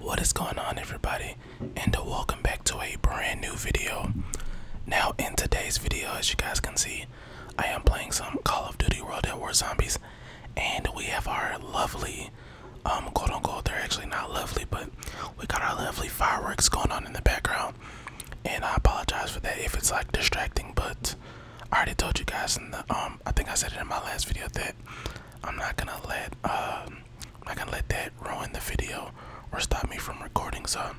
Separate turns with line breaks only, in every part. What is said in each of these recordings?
What is going on everybody and uh, welcome back to a brand new video. Now in today's video as you guys can see I am playing some Call of Duty World at War Zombies and we have our lovely um quote unquote they're actually not lovely but we got our lovely fireworks going on in the background and I apologize for that if it's like distracting but I already told you guys in the um I think I said it in my last video that I'm not gonna let um i can not let that ruin the video or stop me from recording. So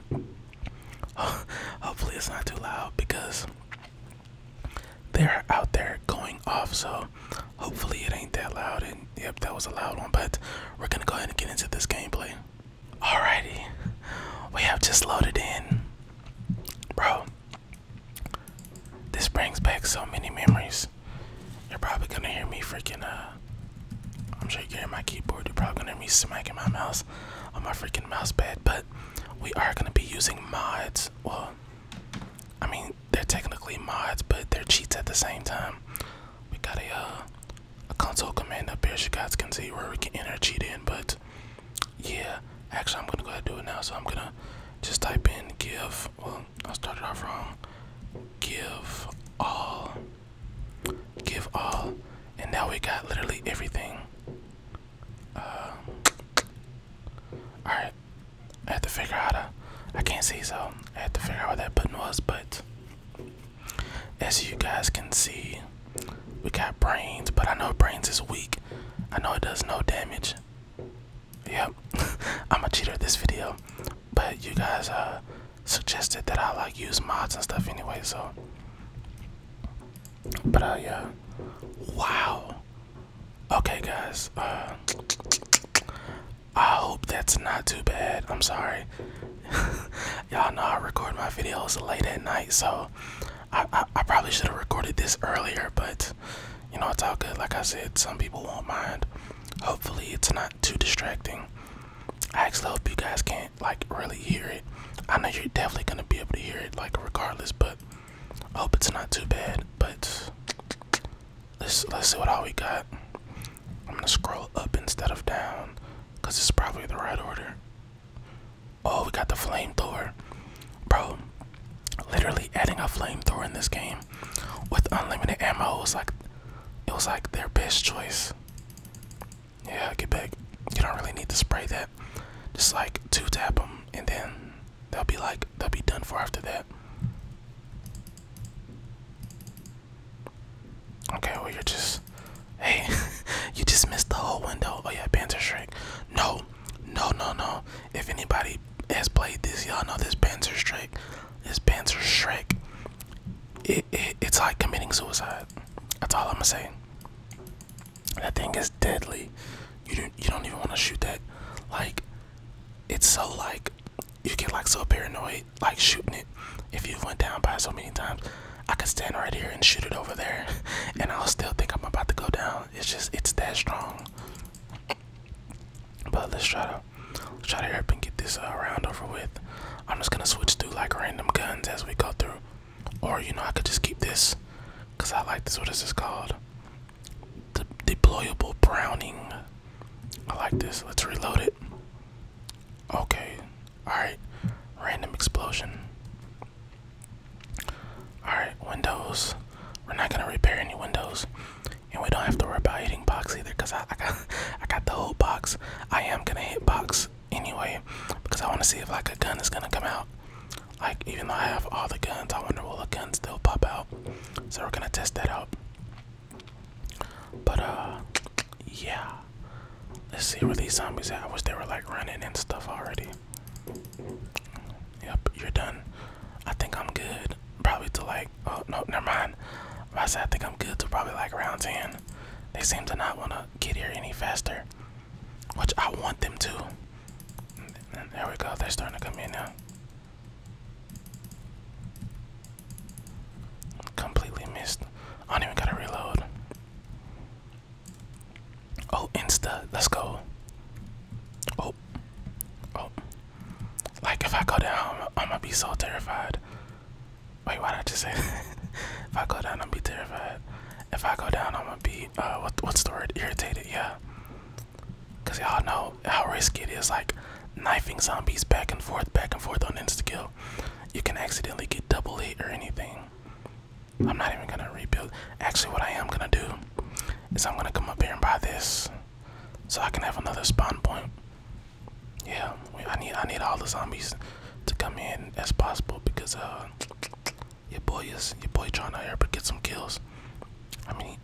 hopefully it's not too loud because they're out there going off. So hopefully it ain't that loud. And yep, that was a loud one. But we're gonna go ahead and get into this gameplay. Alrighty, we have just loaded in, bro. This brings back so many memories you're probably gonna hear me freaking uh I'm sure you are hearing my keyboard, you're probably gonna hear me smacking my mouse on my freaking mouse pad, but we are gonna be using mods. Well I mean they're technically mods but they're cheats at the same time. We got a uh, a console command up here so you guys can see where we can enter cheat in but yeah actually I'm gonna go ahead and do it now so I'm gonna just type in give well I started off wrong. Give all. Give all. And now we got literally everything. Uh, alright. I had to figure how to. I can't see, so I had to figure out what that button was. But as you guys can see, we got brains. But I know brains is weak. I know it does no damage. Yep, I'm a cheater this video, but you guys uh suggested that I like use mods and stuff anyway, so. But uh yeah, wow. Okay guys, uh, I hope that's not too bad. I'm sorry. Y'all know I record my videos late at night, so I, I probably should have recorded this earlier, but you know I all good like i said some people won't mind hopefully it's not too distracting i actually hope you guys can't like really hear it i know you're definitely gonna be able to hear it like regardless but i hope it's not too bad but let's let's see what all we got i'm gonna scroll up instead of down because it's probably the right order oh we got the flamethrower bro literally adding a flamethrower in this game with unlimited ammo it was like it was like their best choice. Yeah, get back. You don't really need to spray that. Just like two tap them, and then they'll be like they'll be done for after that. Okay, well you're just hey, you just missed the whole window. Oh yeah, Panther Shrek. No, no, no, no. If anybody has played this, y'all know this Panzer Shrek. This Panzer Shrek. It, it, it's like committing suicide. That's all I'm saying. That thing is deadly. You don't, you don't even want to shoot that. Like, it's so like, you get like so paranoid, like shooting it. If you have went down by so many times, I could stand right here and shoot it over there, and I'll still think I'm about to go down. It's just, it's that strong. But let's try to let's try to help and get this uh, round over with. I'm just gonna switch through like random guns as we go through, or you know I could just keep this, cause I like this. What is this called? The deployable Browning. I like this. Let's reload it. Okay. All right. Random explosion. All right. Windows. We're not gonna repair any windows, and we don't have to worry about hitting box either, cause I, got the whole box. I am gonna hit box anyway, because I want to see if like a gun is gonna come out. Like even though I have all the guns, I wonder will a gun still pop out. So we're gonna test that out. But uh, yeah. Let's see where these zombies at. I wish they were like running and stuff already. Yep, you're done. I think I'm good. Probably to like, oh no, never mind. I said I think I'm good to probably like round 10. They seem to not want to get here any faster, which I want them to. there we go, they're starting to come in now. Completely missed. I don't even gotta reload. Oh, Insta, let's go. Oh, oh. Like if I go down, I'm, gonna be so terrified. Wait, why did I just say? if I go down, I'm be terrified. If I go down, I'm gonna be uh, what, what's the word? Irritated, yeah. Cause y'all know how risky it is, like knifing zombies back and forth, back and forth on insta-kill. You can accidentally get double hit or anything. I'm not even gonna rebuild. Actually, what I am gonna do is I'm gonna come up here and buy this, so I can have another spawn point. Yeah, I need I need all the zombies to come in as possible because uh, your boy is your boy trying to ever get some kills. I mean,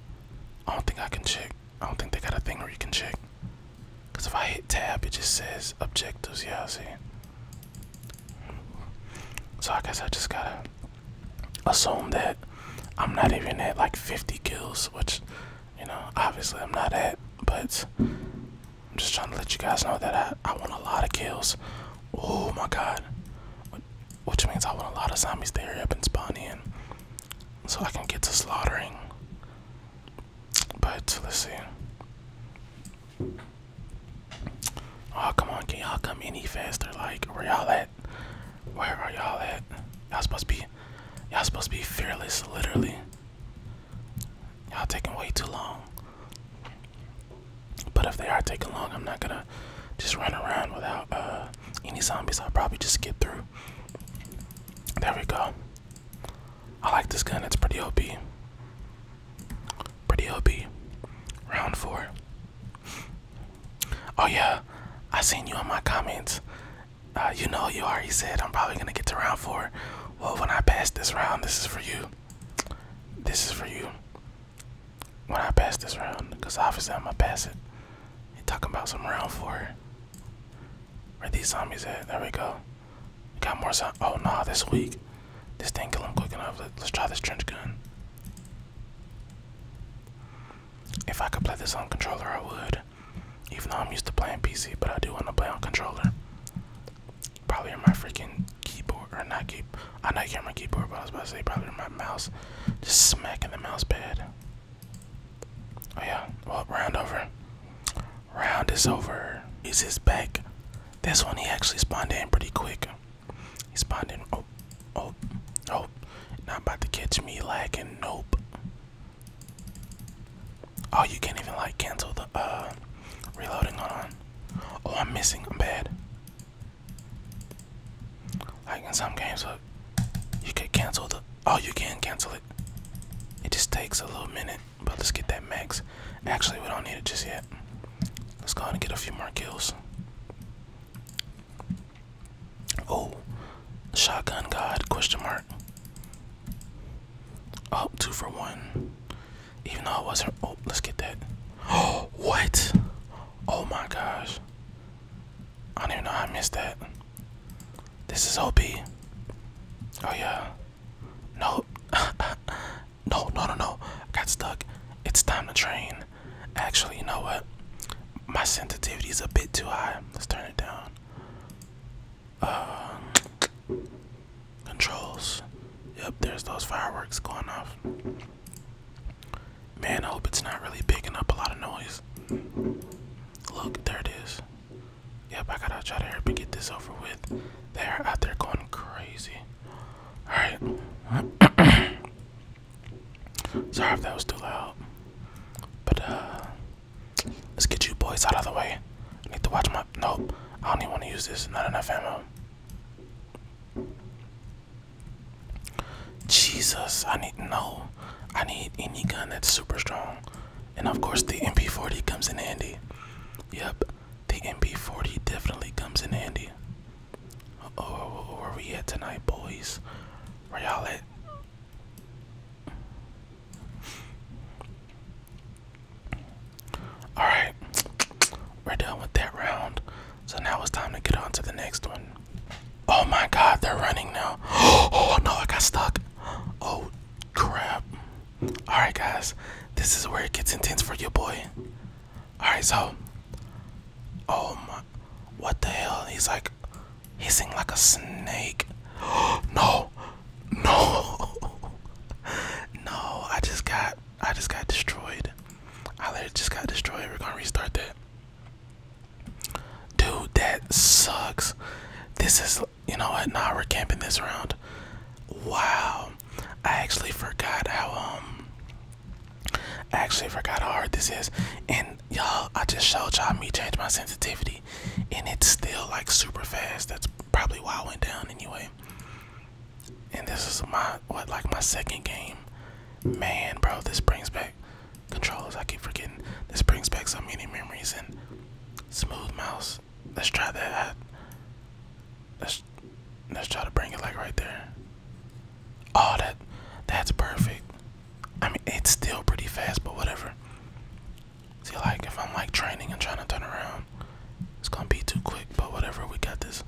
I don't think I can check. I don't think they got a thing where you can check. Cause if I hit tab, it just says objectives. Yeah, see. So I guess I just gotta assume that I'm not even at like 50 kills, which you know, obviously I'm not at, but I'm just trying to let you guys know that I, I want a lot of kills. Oh my god. Which means I want a lot of zombies to appear and spawn in so I can get to slaughtering. But let's see. Oh, come on, can y'all come any faster? Like, where y'all at? Where are y'all at? Y'all supposed to be y'all supposed to be fearless, literally. Y'all taking way too long. But if they are taking long, I'm not gonna just run around without uh, any zombies. I'll probably just get through. There we go. I like this gun. It's pretty OP. Pretty OP. Round four. Oh yeah, I seen you in my comments. Uh, you know you already said I'm probably gonna get to round four. Well, when I pass this round, this is for you. This is for you. When I pass this round, cause obviously I'ma pass it. You talking about some round four? Where these zombies at? There we go. got more zombies. Oh no, nah, this week. This thing kill them quick enough. let's try this trench gun. If I could play this on controller, I would. Even though I'm used to playing PC, but I do want to play on controller. Probably on my freaking keyboard, or not keep. I know i can't my keyboard, but I was about to say probably on my mouse. Just smacking the mouse pad. Oh yeah, well, round over. Round is over. Is his back? This one he actually spawned in pretty quick. He's spawned Oh, oh, oh. Not about to catch me lagging. Nope. Oh, you can't even like cancel the uh reloading on. Oh, I'm missing. I'm bad. Like in some games, look, you can cancel the. Oh, you can cancel it. It just takes a little minute, but let's get that max. Actually, we don't need it just yet. Let's go and get a few more kills. Oh, shotgun god? Question mark. Oh, two for one. Even though I wasn't. Oh, let's get that. Oh, what? Oh my gosh. I don't even know how I missed that. This is Ob. Oh yeah. No. no, no, no, got stuck. It's time to train. Actually, you know what? My sensitivity is a bit too high. Let's turn it down. Uh, controls. Yep, there's those fireworks going off. Man, I hope it's not really picking up a lot of noise. Look, there it is. Yep, I gotta try to help and get this over with. They're out there going crazy. Alright. Sorry if that was too loud. But uh let's get you boys out of the way. I need to watch my nope. I don't even want to use this. Not enough ammo. Jesus, I need no. I need any gun that's super strong. And of course the MP40 comes in handy. Yep, the MP40 definitely comes in handy. Oh, where we at tonight, boys? Where y'all at? Alright, we're done with that round. So now it's time to get on to the next one. Oh my god, they're running now. Oh no, I got stuck. Oh crap. Alright, guys, this is where it gets intense for you, boy. Alright, so. Oh my. What the hell? He's like. Hissing like a snake. no. No. no, I just got. I just got destroyed. I just got destroyed. We're gonna restart that. Dude, that sucks. This is. You know what? Nah, we're camping this round. Wow. I actually forgot how, um. I actually forgot how hard this is. And y'all, I just showed y'all me change my sensitivity. And it's still like super fast. That's probably why I went down anyway. And this is my, what, like my second game. Man, bro, this brings back controllers. I keep forgetting. This brings back so many memories. And smooth mouse. Let's try that. Let's, let's try to bring it like right there. Oh, that that's perfect. I mean, it's still pretty fast, but whatever. See, like if I'm like training and trying to turn around, it's gonna be too quick. But whatever, we got this.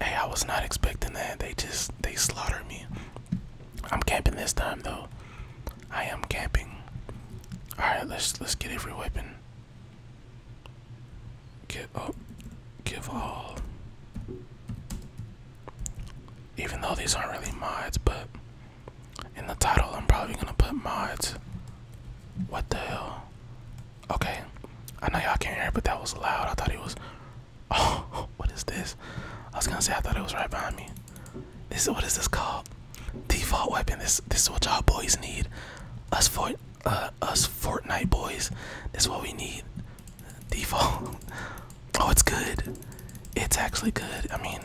Hey, I was not expecting that. They just they slaughtered me. I'm camping this time though. I am camping. All right, let's let's get every weapon. Give up, give all. Even though these aren't really mods, but in the title, I'm probably gonna put mods. What the hell? Okay, I know y'all can't hear, but that was loud. I thought it was. Oh, what is this? I was gonna say I thought it was right behind me. This is what is this called? Default weapon. This this is what y'all boys need. Us for uh, us Fortnite boys. That's what we need. Default. Oh, it's good. It's actually good. I mean,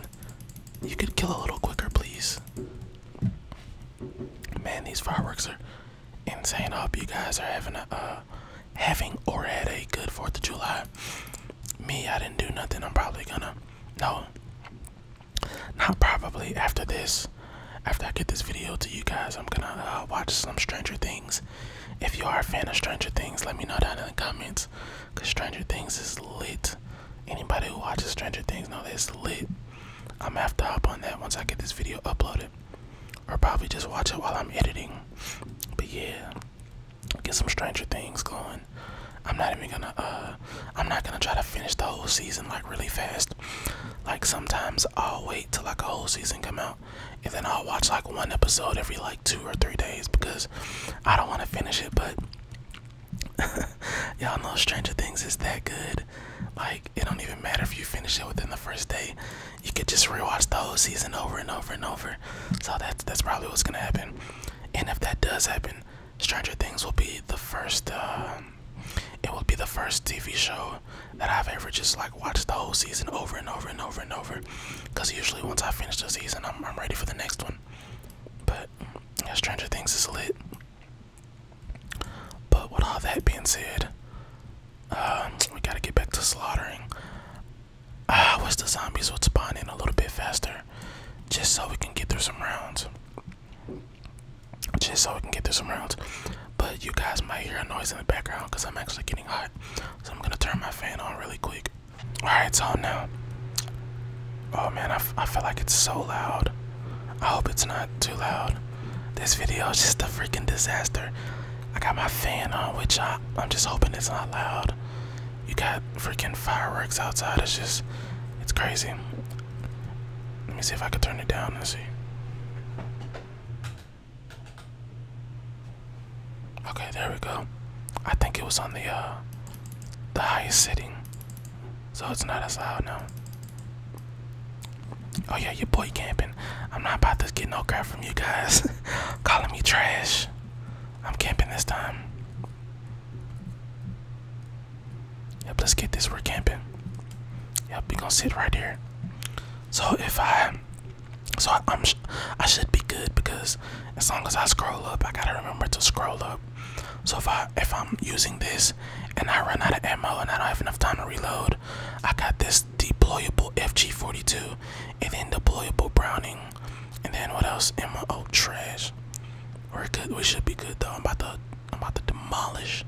you could kill a little quicker, please. Man, these fireworks are insane. I hope you guys are having a uh, having or had a good Fourth of July. Me, I didn't do nothing. I'm probably gonna no. Not probably after this. After I get this video to you guys, I'm gonna uh, watch some Stranger Things. If you are a fan of Stranger Things, let me know down in the comments. Cause Stranger Things is lit. Anybody who watches Stranger Things know that it's lit. I'm gonna have to hop on that once I get this video uploaded. Or probably just watch it while I'm editing. But yeah, get some Stranger Things going. I'm not even gonna uh, I'm not gonna try to finish the whole season like really fast. Like sometimes I'll wait till like a whole season come out, and then I'll watch like one episode every like two or three days because I don't want to finish it. But y'all know Stranger Things is that good. Like it don't even matter if you finish it within the first day. You could just rewatch the whole season over and over and over. So that's that's probably what's gonna happen. And if that does happen, Stranger Things will be the first. Um, it will be the first TV show that I've ever just like watched the whole season over and over and over and over. Cause usually once I finish the season, I'm, I'm ready for the next one. But Stranger Things is lit. But with all that being said, um, we gotta get back to slaughtering. I ah, wish the zombies would spawn in a little bit faster, just so we can get through some rounds just so we can get through some rounds. But you guys might hear a noise in the background because I'm actually getting hot. So I'm gonna turn my fan on really quick. Alright, it's on now. Oh man, I, I feel like it's so loud. I hope it's not too loud. This video is just a freaking disaster. I got my fan on, which I, I'm just hoping it's not loud. You got freaking fireworks outside. It's just, it's crazy. Let me see if I can turn it down and see. Okay, there we go. I think it was on the uh the highest setting. So it's not as loud now. Oh yeah, your boy camping. I'm not about to get no crap from you guys calling me trash. I'm camping this time. Yep, let's get this. We're camping. Yep, we gonna sit right here. So if I, so I, am I should be good because as long as I scroll up, I gotta remember to scroll up. So if I, if I'm using this and I run out of ammo and I don't have enough time to reload, I got this deployable FG42 and then deployable Browning, and then what else? Ammo, oh, trash. We're good. We should be good though. I'm about to, I'm about to demolish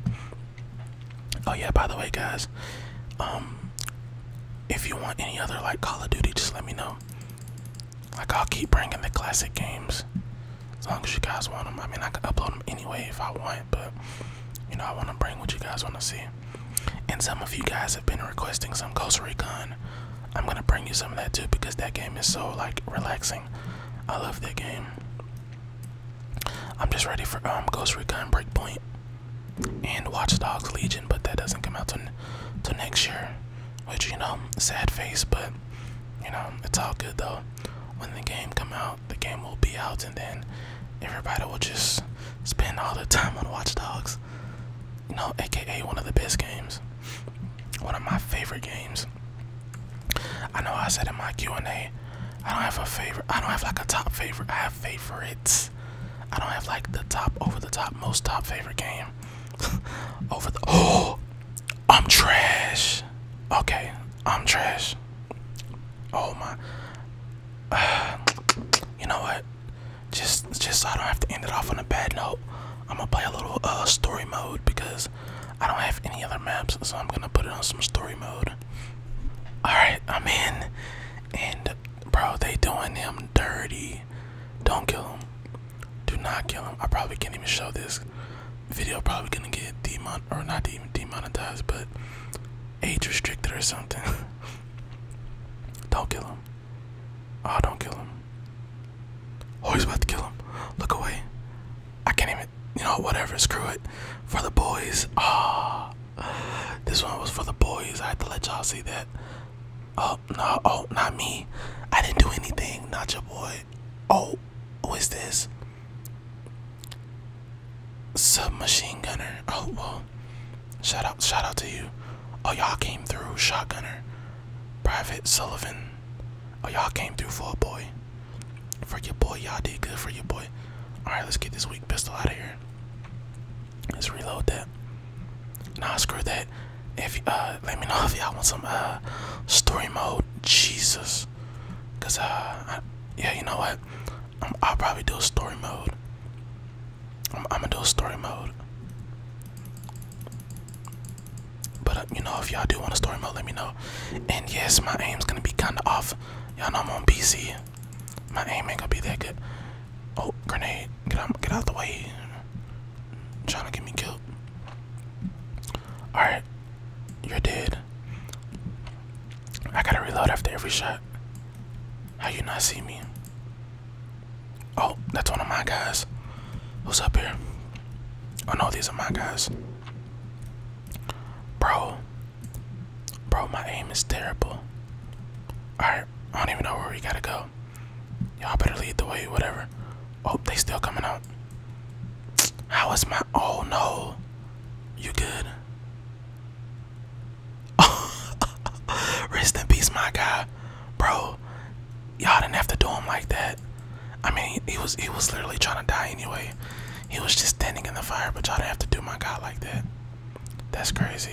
Oh yeah, by the way, guys, um, if you want any other like Call of Duty, just let me know. Like I'll keep bringing the classic games, as long as you guys want them. I mean, I can upload them anyway if I want, but you know, I want to bring what you guys want to see. And some of you guys have been requesting some Ghost Recon. I'm gonna bring you some of that too because that game is so like relaxing. I love that game. I'm just ready for um, Ghost Recon Breakpoint and Watch Dogs Legion, but that doesn't come out till, till next year. Which, you know, sad face, but, you know, it's all good though. When the game come out, the game will be out, and then everybody will just spend all the time on Watch Dogs. You know, aka one of the best games, one of my favorite games. I know I said in my Q&A, I don't have a favorite. I don't have like a top favorite. I have favorites. I don't have like the top over the top most top favorite game. over the Oh, I'm trash. Okay, I'm trash. Oh my. you know what? Just just so I don't have to end it off on a bad note. I'm gonna play a little uh, story mode because I don't have any other maps, so I'm gonna put it on some story mode. Alright, I'm in. And bro, they doing him dirty. Don't kill him. Do not kill him. I probably can't even show this video probably gonna get demon or not even demonetized, but age restricted or something. don't kill him. Oh, don't kill him. Oh, he's about to kill him. Look away. I can't even, you know, whatever, screw it. For the boys, ah, oh, this one was for the boys. I had to let y'all see that. Oh, no, oh, not me. I didn't do anything, not your boy. Oh, who is this? Submachine gunner. Oh, well, shout out, shout out to you. Oh, y'all came through, shotgunner. Private Sullivan. Oh, y'all came through for a boy for your boy. Y'all did good for your boy. Alright, let's get this weak pistol out of here. Let's reload that. Nah, screw that. If uh let me know if y'all want some uh story mode. Jesus. Cause uh yeah, you know what? i will probably do a story mode. I'm gonna do a story mode. But you know, if y'all do want a story mode, let me know. And yes, my aim's gonna be kinda off. Y'all know I'm on PC. My aim ain't gonna be that good. Oh, grenade! Get out! Get out the way! I'm trying to get me killed. All right, you're dead. I gotta reload after every shot. How you not see me? Oh, that's one of my guys. Who's up here? Oh no, these are my guys. Bro. Bro, my aim is terrible. Alright, I don't even know where we gotta go. Y'all better lead the way, whatever. Oh, they still coming out. How was my oh no. You good? Rest in peace, my guy. Bro, y'all didn't have to do him like that. I mean, he, was he was literally trying to die anyway. He was just standing in the fire, but y'all didn't have to do my god like that. That's crazy.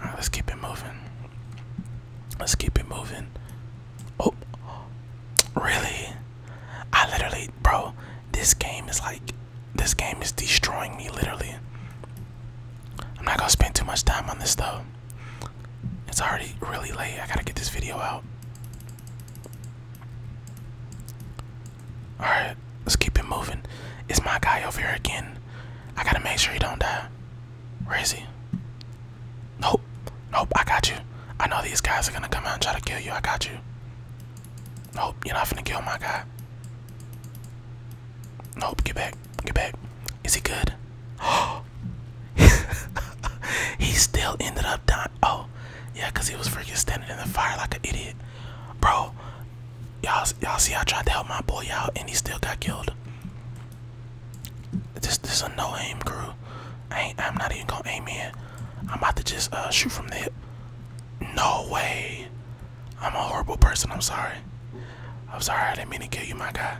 right, let's keep it moving. Let's keep it moving. Oh, really? I literally, bro, this game is like, this game is destroying me, literally. I'm not gonna spend too much time on this though. It's already really late. I gotta get this video out. All right, let's keep it moving. It's my guy over here again. I gotta make sure he don't die. Where is he? Nope, nope. I got you. I know these guys are gonna come out and try to kill you. I got you. Nope, you're not gonna kill my guy. Nope, get back, get back. Is he good? he still ended up dying. Oh, yeah, cause he was freaking standing in the fire like an idiot, bro. Y'all, y'all see, I tried to help my boy out, and he still got killed. This, this is a no aim crew. I ain't, I'm not even gonna aim in. I'm about to just uh, shoot from the No way. I'm a horrible person. I'm sorry. I'm sorry. I didn't mean to kill you, my guy.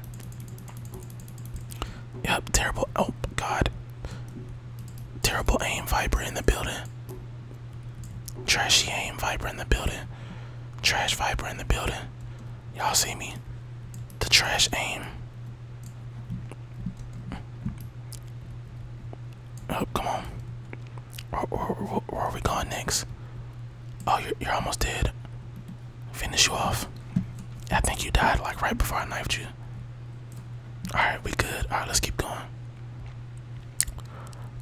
Yep, terrible. Oh, God. Terrible aim viper in the building. Trashy aim viper in the building. Trash viper in the building. Y'all see me? The trash aim. Oh, come on. Where, are we going next? Oh, you're almost dead. Finish you off. I think you died like right before I knifed you. Alright, we good. Alright, let's keep going.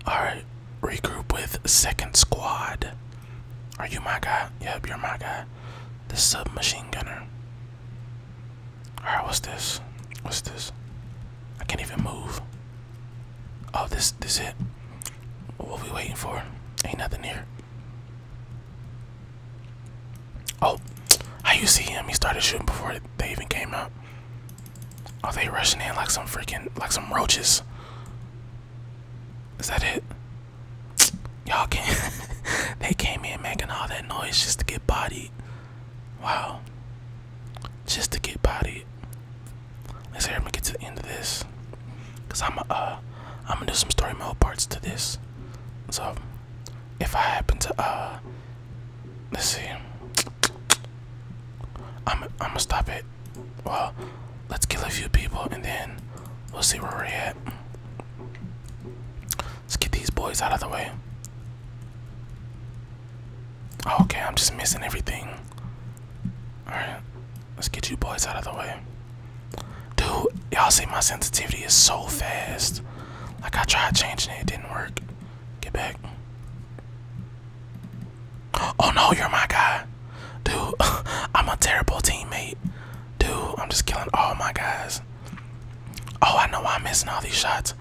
Alright, regroup with second squad. Are you my guy? Yep, you're my guy. The submachine gunner. Alright, what's this? What's this? I can't even move. Oh, this this it. What we waiting for? Ain't nothing here. Oh, I used to see him? He started shooting before they even came out. Are they rushing in like some freaking like some roaches? Is that it? Y'all can't. they came in making all that noise just to get bodied. Wow. Just to get bodied. Let's hear me get to the end of this. Cause I'm uh I'm gonna do some story mode parts to this. So if I happen to uh let's see I'm I'm gonna stop it. Well, let's kill a few people and then we'll see where we're at. Let's get these boys out of the way. Oh, okay, I'm just missing everything. Alright, let's get you boys out of the way. Dude, y'all see my sensitivity is so fast. Like I tried changing it, didn't work. Get back. Oh no, you're my guy. Dude, I'm a terrible teammate. Dude, I'm just killing all my guys. Oh, I know why I'm missing all these shots.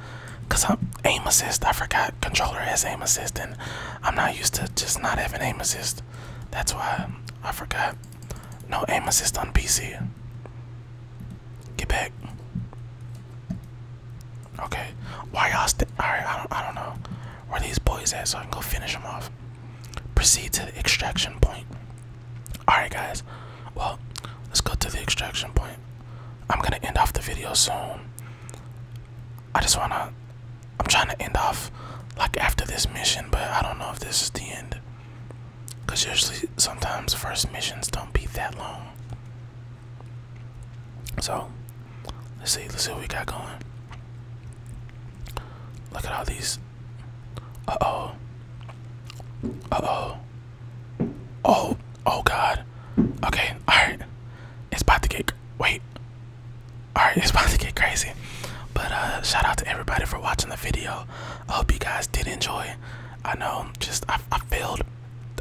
Cause I'm aim assist. I forgot controller has aim assist and I'm not used to just not having aim assist. That's why I forgot. No aim assist on PC. Get back. Okay. Why y'all st Alright, I don't, I don't know where these boys at so I can go finish them off. Proceed to the extraction point. Alright, guys. Well, let's go to the extraction point. I'm gonna end off the video soon. I just wanna. I'm trying to end off like after this mission, but I don't know if this is the end. Because usually, sometimes first missions don't be that long. So, let's see, let's see what we got going. Look at all these. Uh oh. Uh oh. Oh, oh god. Okay, alright. It's about to get. Wait. Alright, it's about to get crazy. But uh, shout out to everybody for watching the video. I hope you guys did enjoy. I know, just I, I failed,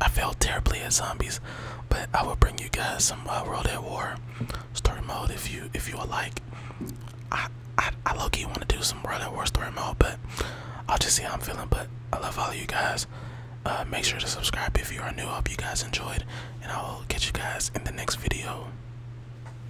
I failed terribly at zombies, but I will bring you guys some uh, World at War story mode if you if you would like. I I, I low want to do some World at War story mode, but I'll just see how I'm feeling. But I love all of you guys. Uh, make sure to subscribe if you are new. hope you guys enjoyed, and I will catch you guys in the next video.